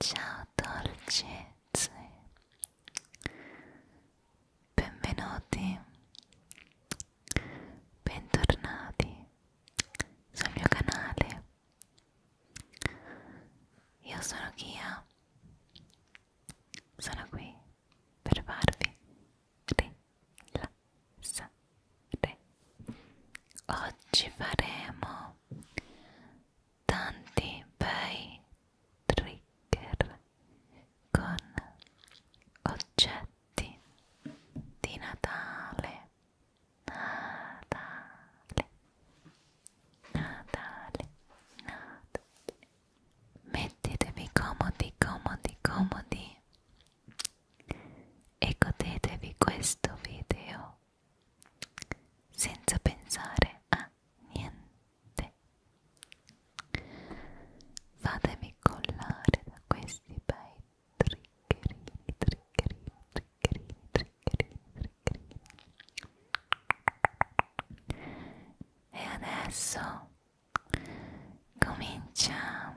Ciao dolcezze, benvenuti, bentornati sul mio canale. Io sono Kia, sono qui per farvi rilassare sa, re. Oggi faremo tanti bei trigger con oggetti di Natale. Natale. Natale. Natale. Mettetevi comodi, comodi, comodi e godetevi questo video senza pensare a niente fatemi collare da questi bei triggerini triggerini triggerini triggerini triggerini e adesso cominciamo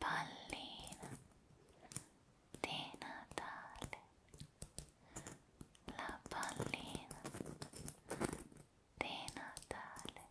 pallina di Natale, la pallina di Natale.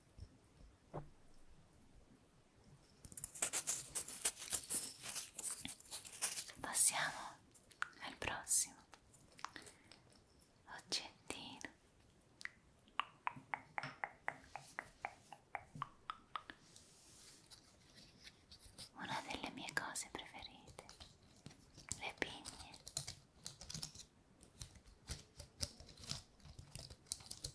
Passiamo al prossimo oggettino. Una delle mie cose preferite, le pigne.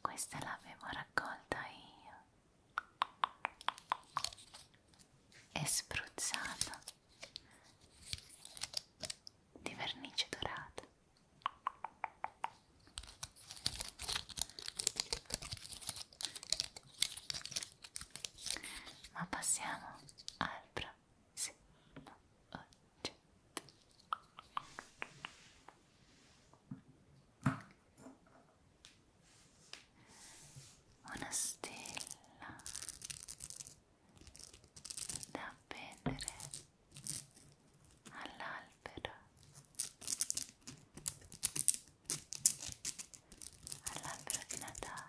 Questa l'avevo raccolta io e spruzzata di vernice dorata. Ma passiamo al prossimo una stella da appendere all'albero all'albero di Natale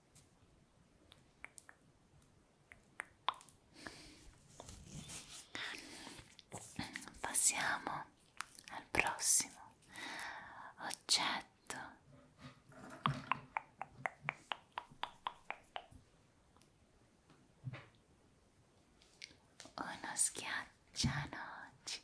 Passiamo al prossimo oggetto. Uno schiaccianoci.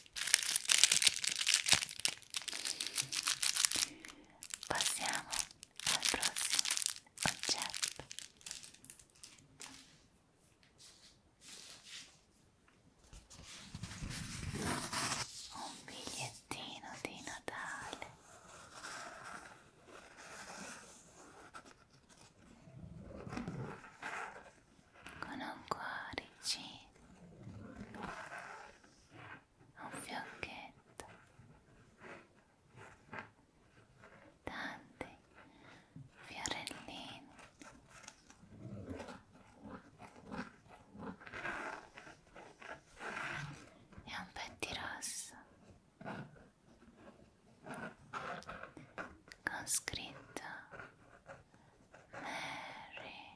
Passiamo al prossimo oggetto. Un bigliettino di Natale con un cuoricino, un fiocchetto, tanti fiorellini. E un petti rosso con scritto Mary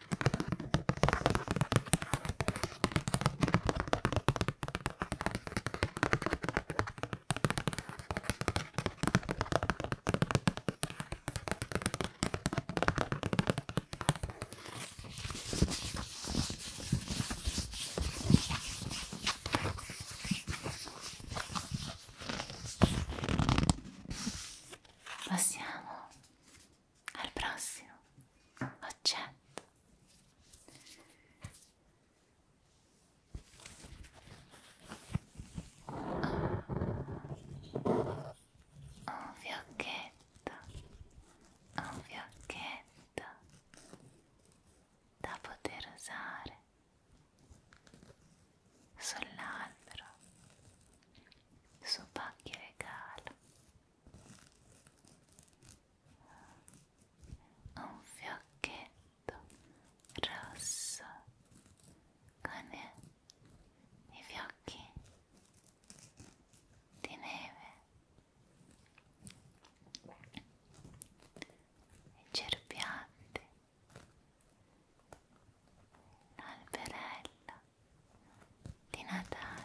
Passiamo al prossimo oggetto oh. un fiocchetto un fiocchetto da poter usare sull'albero su pacchi regalo un fiocchetto rosso con i fiocchi di neve i cerbiatti l'alberello di Natale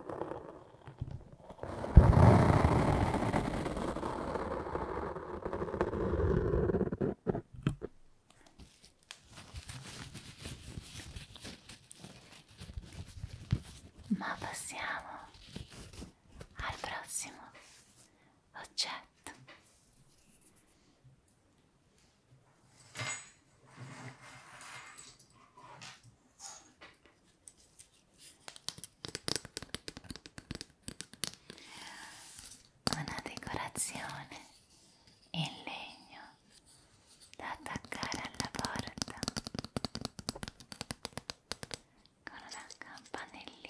Ma passiamo al prossimo oggetto una decorazione in legno da attaccare alla porta con una campanellina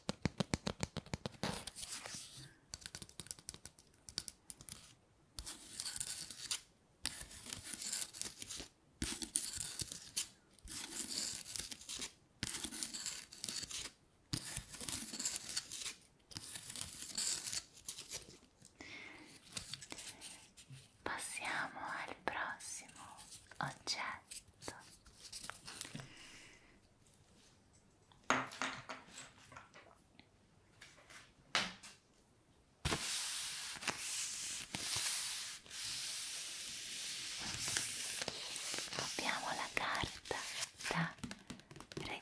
Passiamo al prossimo oggetto Abbiamo la carta da regalo.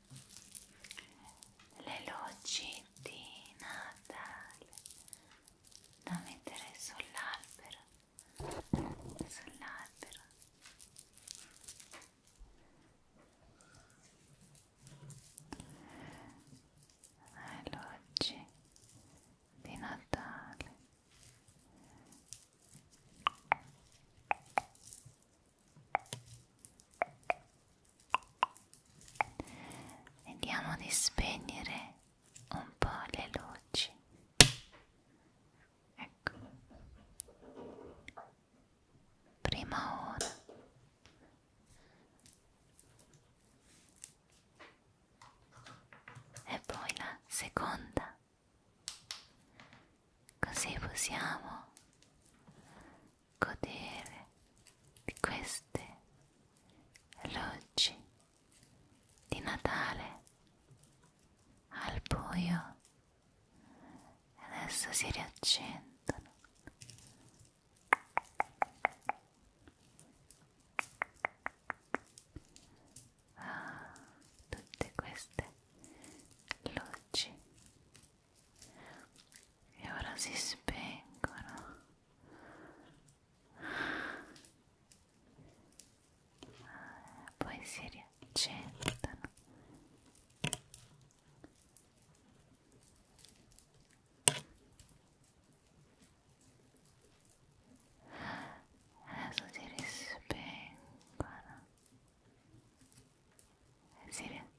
le luci di Natale da mettere sull'albero sull'albero le luci di Natale Vediamo di spegnere un po' le luci. Ecco. Prima ora. E poi la seconda. Così possiamo godere di queste luci di Natale al buio adesso si riaccendono ah, tutte queste luci e ora si spengono poi si riaccendono adesso si rispengono e si riaccendono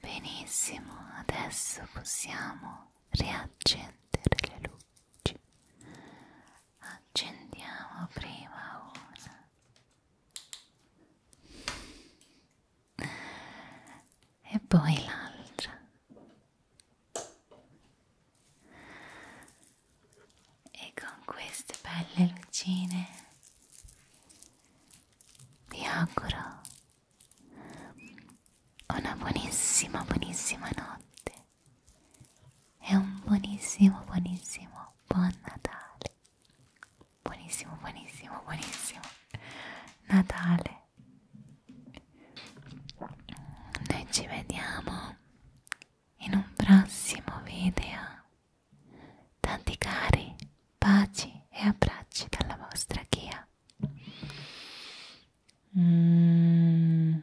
Benissimo, adesso possiamo riaccendere le luci. Accendiamo prima una e poi l'altra. E con queste belle lucine vi auguro una buonissima, buonissima notte e un buonissimo, buonissimo, buon Natale. Buonissimo, buonissimo, buonissimo Natale. Noi ci vediamo in un prossimo video. Tanti cari, baci e abbracci dalla vostra Chia. Mm.